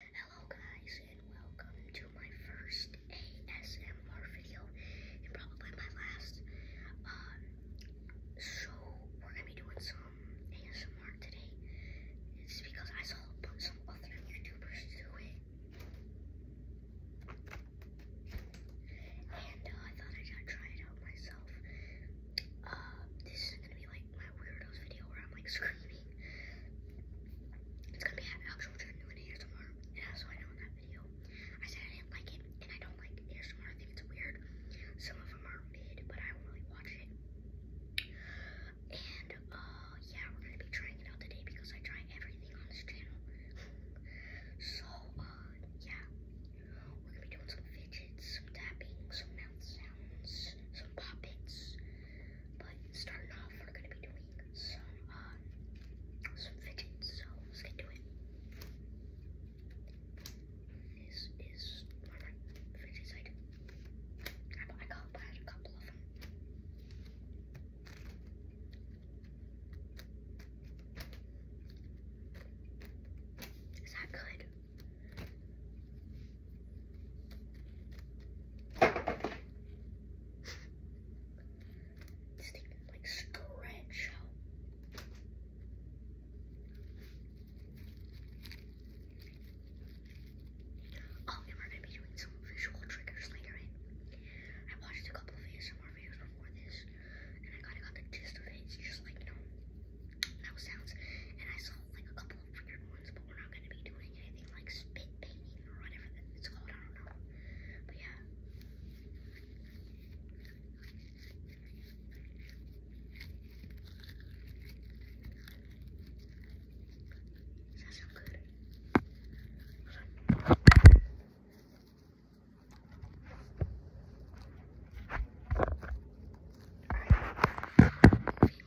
Hello guys and welcome to my first ASMR video and probably my last. Um, so we're gonna be doing some ASMR today. It's because I saw some other YouTubers do it. And uh, I thought I'd try it out myself. Uh, this is gonna be like my weirdos video where I'm like screaming. It's gonna be an actual turn to an And that's I know in that video. I said I didn't like it, and I don't like ASMR. I think it's weird. Some of them are mid, but I don't really watch it. And uh, yeah, we're gonna be trying it out today because I try everything on this channel. so uh, yeah, we're gonna be doing some fidgets, some tapping, some mouth sounds, some poppets. But starting off, we're gonna be doing some um, some fidgets. So let's get to it. is one fidgets I I, got a couple of them. Is that good? This thing like scratch out. Oh, we're gonna be doing some visual triggers later I watched a couple of ASMR videos before this, and I kinda got the gist of it. just like, you no sounds. And I saw like a couple of weird ones, but we're not going to be doing anything like spit painting or whatever it's called. I don't know. But yeah. Does that good?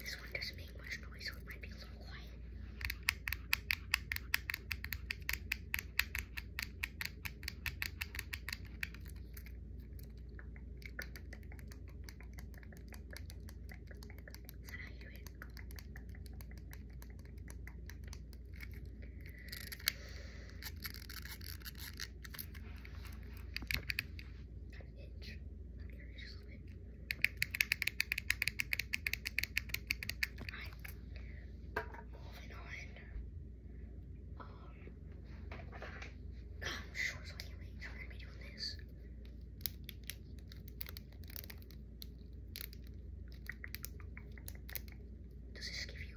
This one doesn't make much noise, so it might be a little quiet. Is that how you do it? Itch. Alright. Moving on. Um I'm sure so I we're gonna be doing this. Does this give you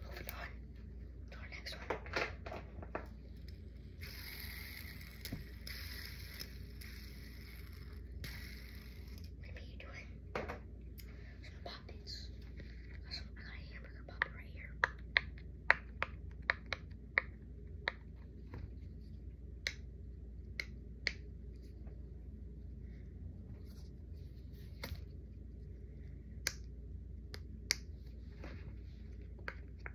All right. Moving on to our next one. Maybe you do it. Some poppets. Also, I got a hamburger pop right here.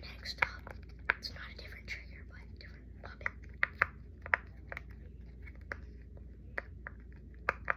Next up, it's not a different trigger, but different puppet. Alright.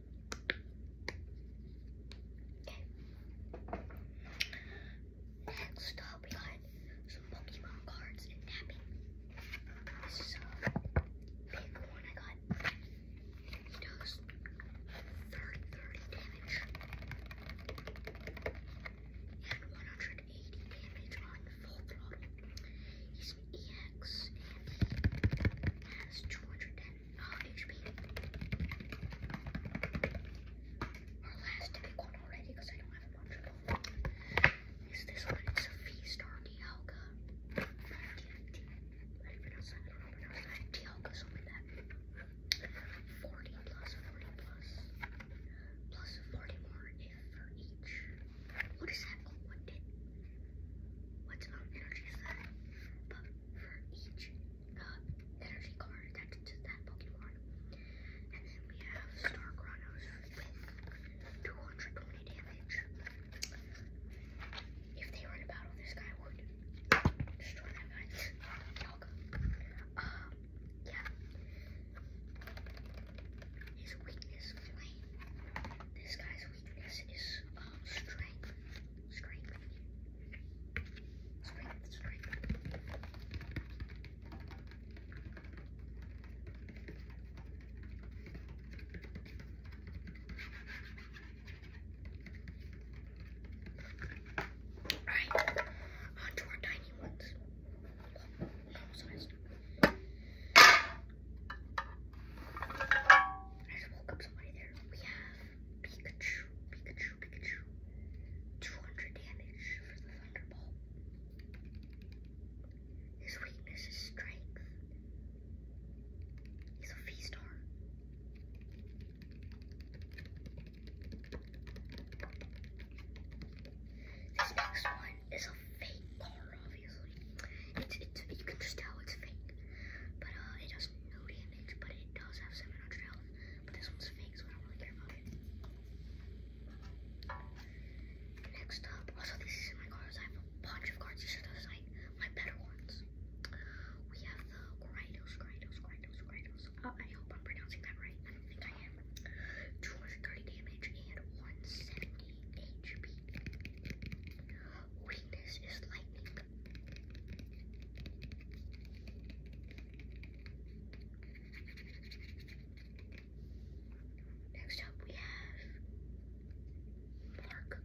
Next up, we got some Pokemon cards and tapping. This is a big one I got. It 30, damage and 180 damage on full throttle. He's an EX and has 200 uh, HP. Our last big one already because I don't have a bunch of them. this one? It's a Feastar Dialga. I something that. 40 plus 40 plus. 40 more if for each. What is that? Oh, what did? What's about energy for each energy card attached to that Pokemon. And then we have Star Chronos with 220 damage. If they were in battle, this guy would destroy that guy's dog. Um, yeah. His weakness, flame. This guy's weakness is um, strength. Scream. Scream, our tiny ones. I just woke up somebody there. We have Pikachu, Pikachu, Pikachu. 200 damage for the Thunderbolt. His weakness is strength. He's a V-star. This next one is a fake car, obviously. It's, it's, you can just tell it's fake. But uh, it does no damage but it does have 700 health. But this one's fake, so I don't really care about it. Next up, also these is my cards. I have a bunch of cards. These are those like my better ones. We have the Graidos, Graidos, Graidos, Graidos. Uh, oh, I hope I'm pronouncing that right. I don't think I am. 230 damage and 170 HP. Weakness is lightning. Next up, we have Mark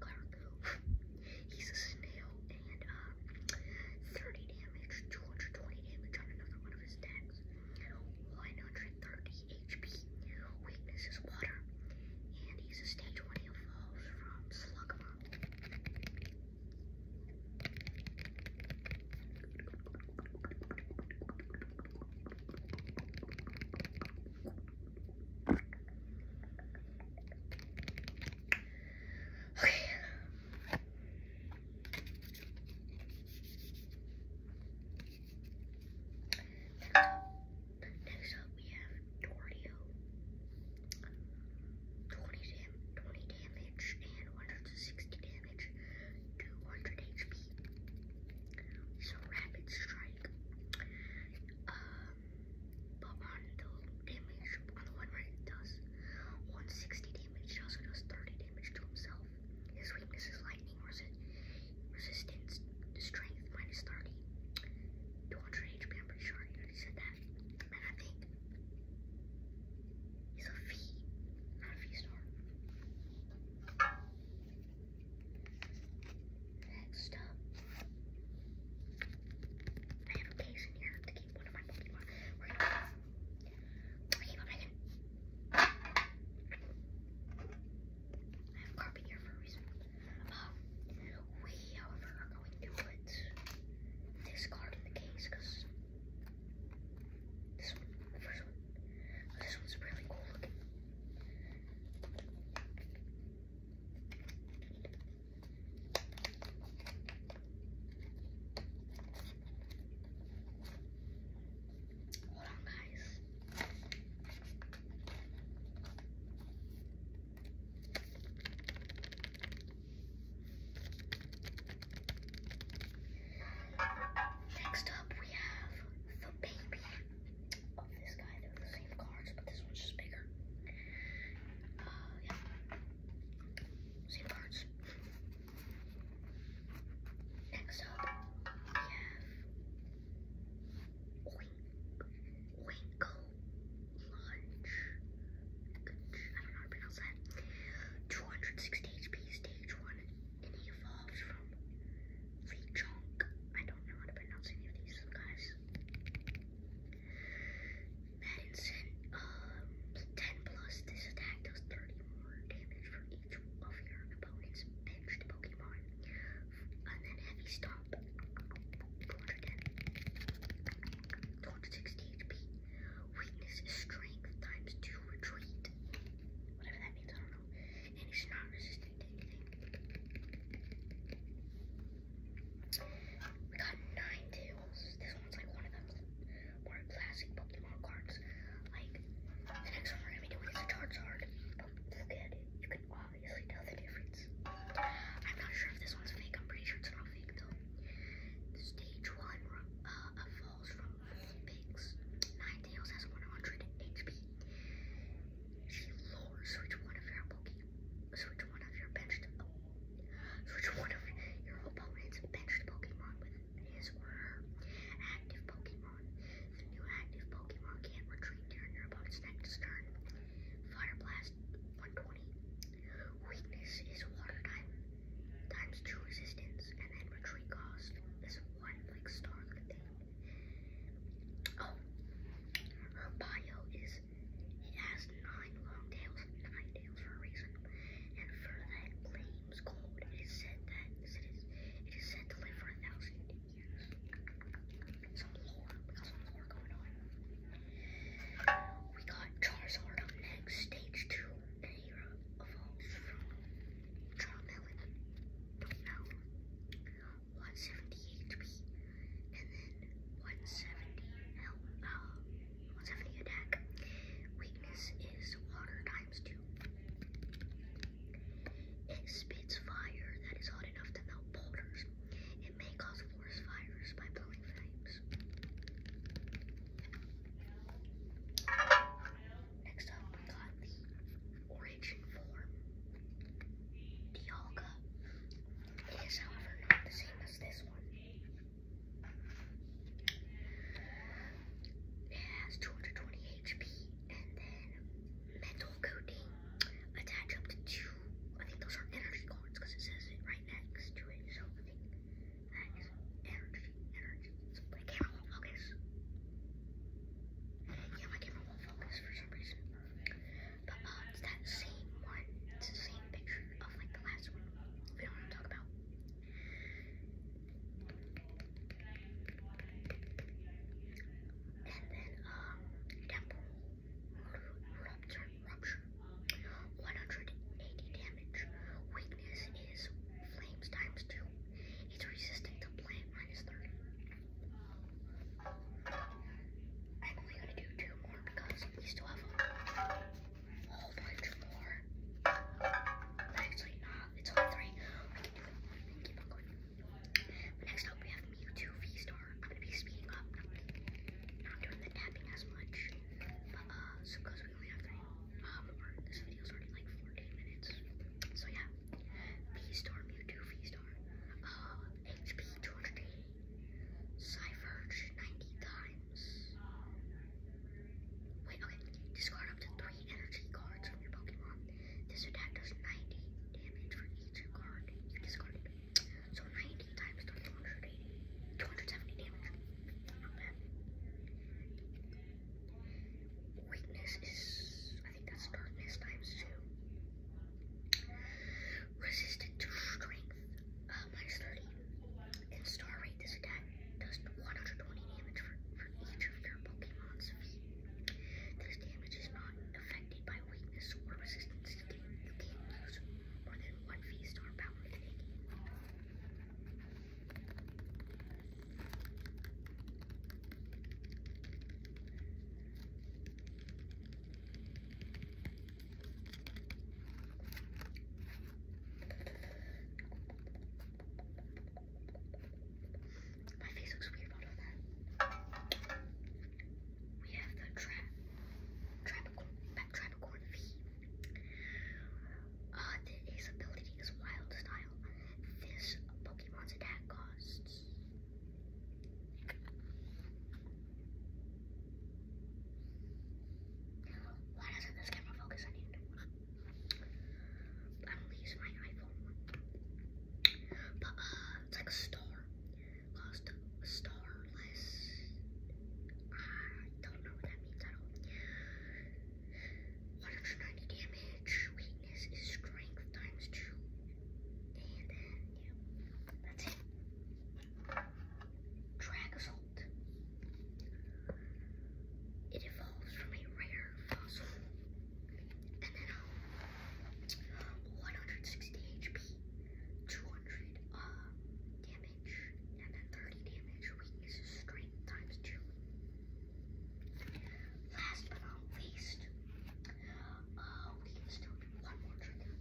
He's a snail and uh, 30 damage, 220 damage on another one of his attacks, 130 HP. Weakness is water, and he's a stage 1. He evolves from Slugma Okay. Next up, next up we have Dorio. 20, dam 20 damage and 160 damage, 200 HP. So rapid strike. Um, but on the damage, on the one right, does 160 damage. It also does 30 damage to himself. His weakness is lightning resi resistance, strength minus 30, 200 HP. I'm pretty sure I said that and I think he's a V, not a V star. Next up, I have a case in here to keep one of my Pokemon. We're gonna, we I have carpet here for a reason. Um, we, however, are going to put this card in the case because this one, one, this one's really cool looking. Hold on, guys. Next up, we have the baby of this guy. They're the same cards, but this one's just bigger. Uh, same cards. Next up, we have. Winkle Lunch. I don't know how to pronounce that. 260 HP stage one, and he evolves from Lee Chonk. I don't know how to pronounce any of these guys. Madison, um, 10 plus this attack does 30 more damage for each of your opponent's the Pokemon. And then Heavy Stomp, 210. 260 HP. Weakness strength times 2 retreat. Whatever that means, I don't know. And he's not resistant to anything. We got 9 tails. This one's like one of them more classic Pokemon cards. Like, the next one we're gonna be doing is Charizard. look at it. You can obviously oh, tell the difference. I'm not sure if this one's fake. I'm pretty sure it's not fake though. Stage one uh, falls from pigs. Nine tails has 100 HP. She lures switch one of your Pokemon. Switch one of your benched. switch one of your opponent's benched Pokemon with his or her active Pokemon. The new active Pokemon can't retreat during your opponent's next turn. Fire Blast 120. Weakness is water type times two resistance, and then retreat cost is one like star thing. Oh, her bio is it has nine long tails, nine tails for a reason, and for that blames cold. It is said that it is said to live for a thousand years. We got Charizard next, stage two. And 170 HP. And then 170 L 170 attack. Weakness is water times two. It spits fire that is hot enough to melt boulders. It may cause forest fires by blowing flames. Next up, we got the origin form. The Alga however, not the same as this one. It has 220 HP and then metal coating attach up to two. I think those are energy cards because it says it right next to it. So I think that is energy, energy. my camera won't focus. Yeah, my camera won't focus for some reason. But um, it's that same one. It's the same picture of like the last one. We don't want to talk about. And then um, Deadpool 180 damage. Weakness is flames times two. It's resistant to plant minus I'm only gonna do two more because we still have a whole bunch more. Actually, not. It's all three. But next up, we have Mewtwo V-Star. I'm gonna be speeding up, not, doing the tapping as much. But, uh, so we only have three, um, or this video's already like 14 minutes. So yeah, V-Star, Mewtwo V-Star. Uh, HP 280, Cypherge 90 times. Wait, okay, discard up to three energy cards from your Pokemon. This attack does 90 damage for each card you discarded. So 90 times 280, 270 damage. Weakness is, I think that's darkness times two. Resistant to strength, uh, minus 30. And star rate, this attack does 120 damage for, for each of your Pokemon's This damage is not affected by weakness or resistance you can't lose more than one V-star power thing. My face looks weird on all that. We have the trap, Trapicorn, Trapicorn his uh, ability is Wild Style. This Pokemon's attack costs. Why doesn't this camera focus on you? I'm gonna use my iPhone. But uh, it's like a star lost starless. I don't know what that means at all. 190 damage, weakness is strength times two. And then, yeah, that's it. Drag Assault. It evolves from a rare fossil. And then 160 HP, 200 uh, damage, and then 30 damage. Weakness is strength times 2. Last but not least, we can still do one more trigger.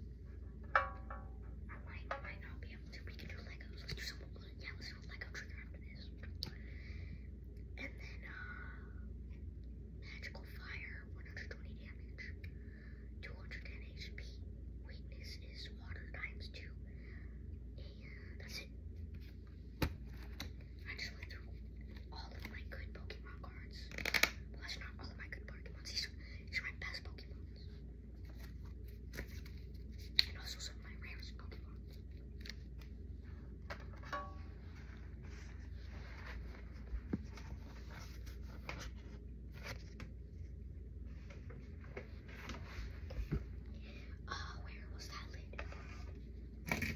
might, not be able to. We can do Legos. Let's do some, yeah, let's do a Lego trigger after this. And then, uh, magical fire, 120 damage. 210 HP. Weakness is water times 2. And that's it. I just went through all of my good Pokemon cards. Well, not all of my good Pokemon. these are my best Pokemon. And also some of my rarest Pokemon. Uh, where was that lid? then we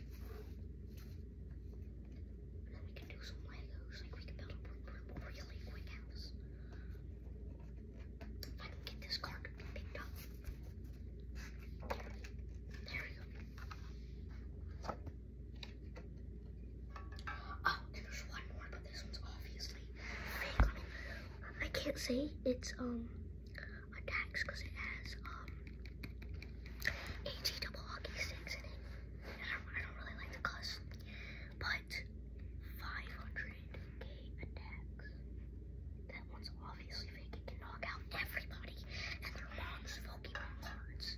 can do some Legos. Like, we can build a really quick house. I can get this card picked up. There we go. Oh, I can't say it's um a because it has um AT double hockey sticks in it. I don't, really like the cuss, but 500k attacks. That one's obviously fake. It can knock out everybody and their mom's Pokemon cards.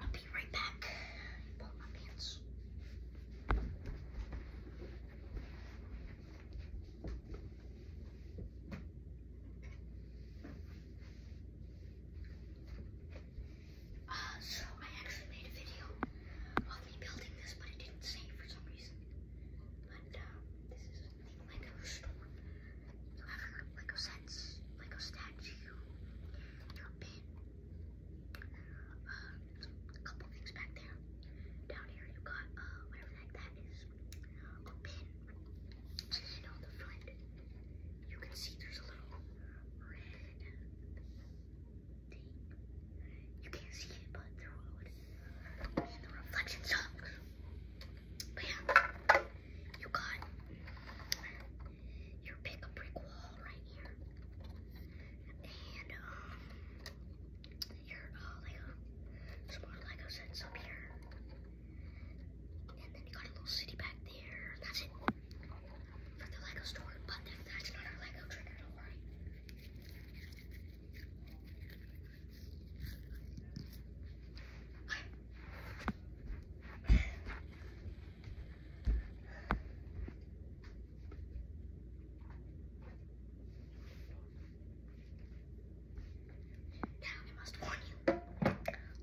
I'll be right back. Pull my pants. Uh, so I actually made a video saw me building this, but it didn't save for some reason. But um, this is a Lego store. You have Lego sets, Lego statue, your pin, um, uh, a couple things back there. Down here you got uh, whatever that, that is, a pin. And on the front, you can see there's a little red you can't see it, but the road and the reflection sucks. But yeah, you got your pick brick wall right here, and um, your uh, like a small Lego sets up here, and then you got a little city back there. That's it for the Lego store, but that's not our Lego trick at all, right?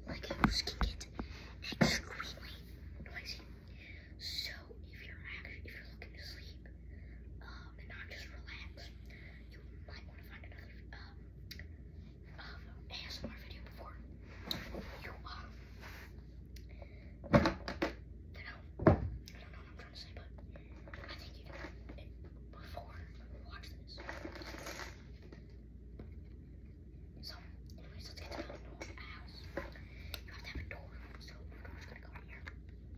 Like a skin gets extremely noisy. So so if you're actually, if you're looking to sleep um, and not just relax, you might want to find another um, um, ASMR video before you um, you know, I don't know what I'm trying to say, but I think you do before watch this. So, anyways, let's get to the house. You have to have a door, so the door's gonna go in here.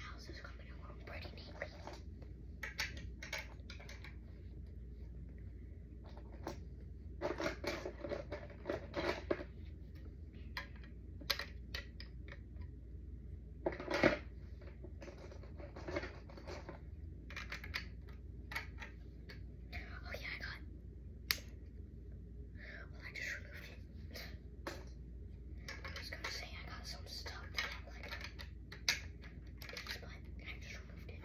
How's this coming along pretty neatly? Oh yeah, I got. Well, I just removed it. I was gonna say I got some stuff that I like this, but I just removed it.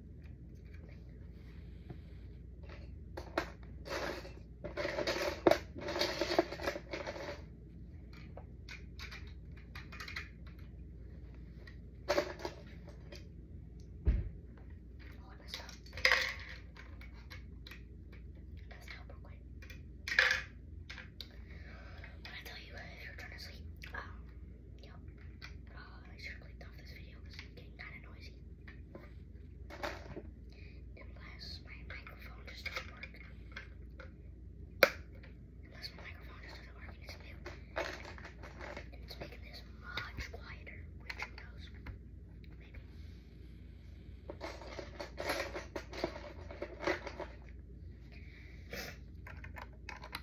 When I tell you, if you're trying to sleep, um, Yep. Oh, I should have clicked off this video because it's getting kind of noisy. Unless my microphone just doesn't work. Unless my microphone just doesn't work it's making this much quieter, which who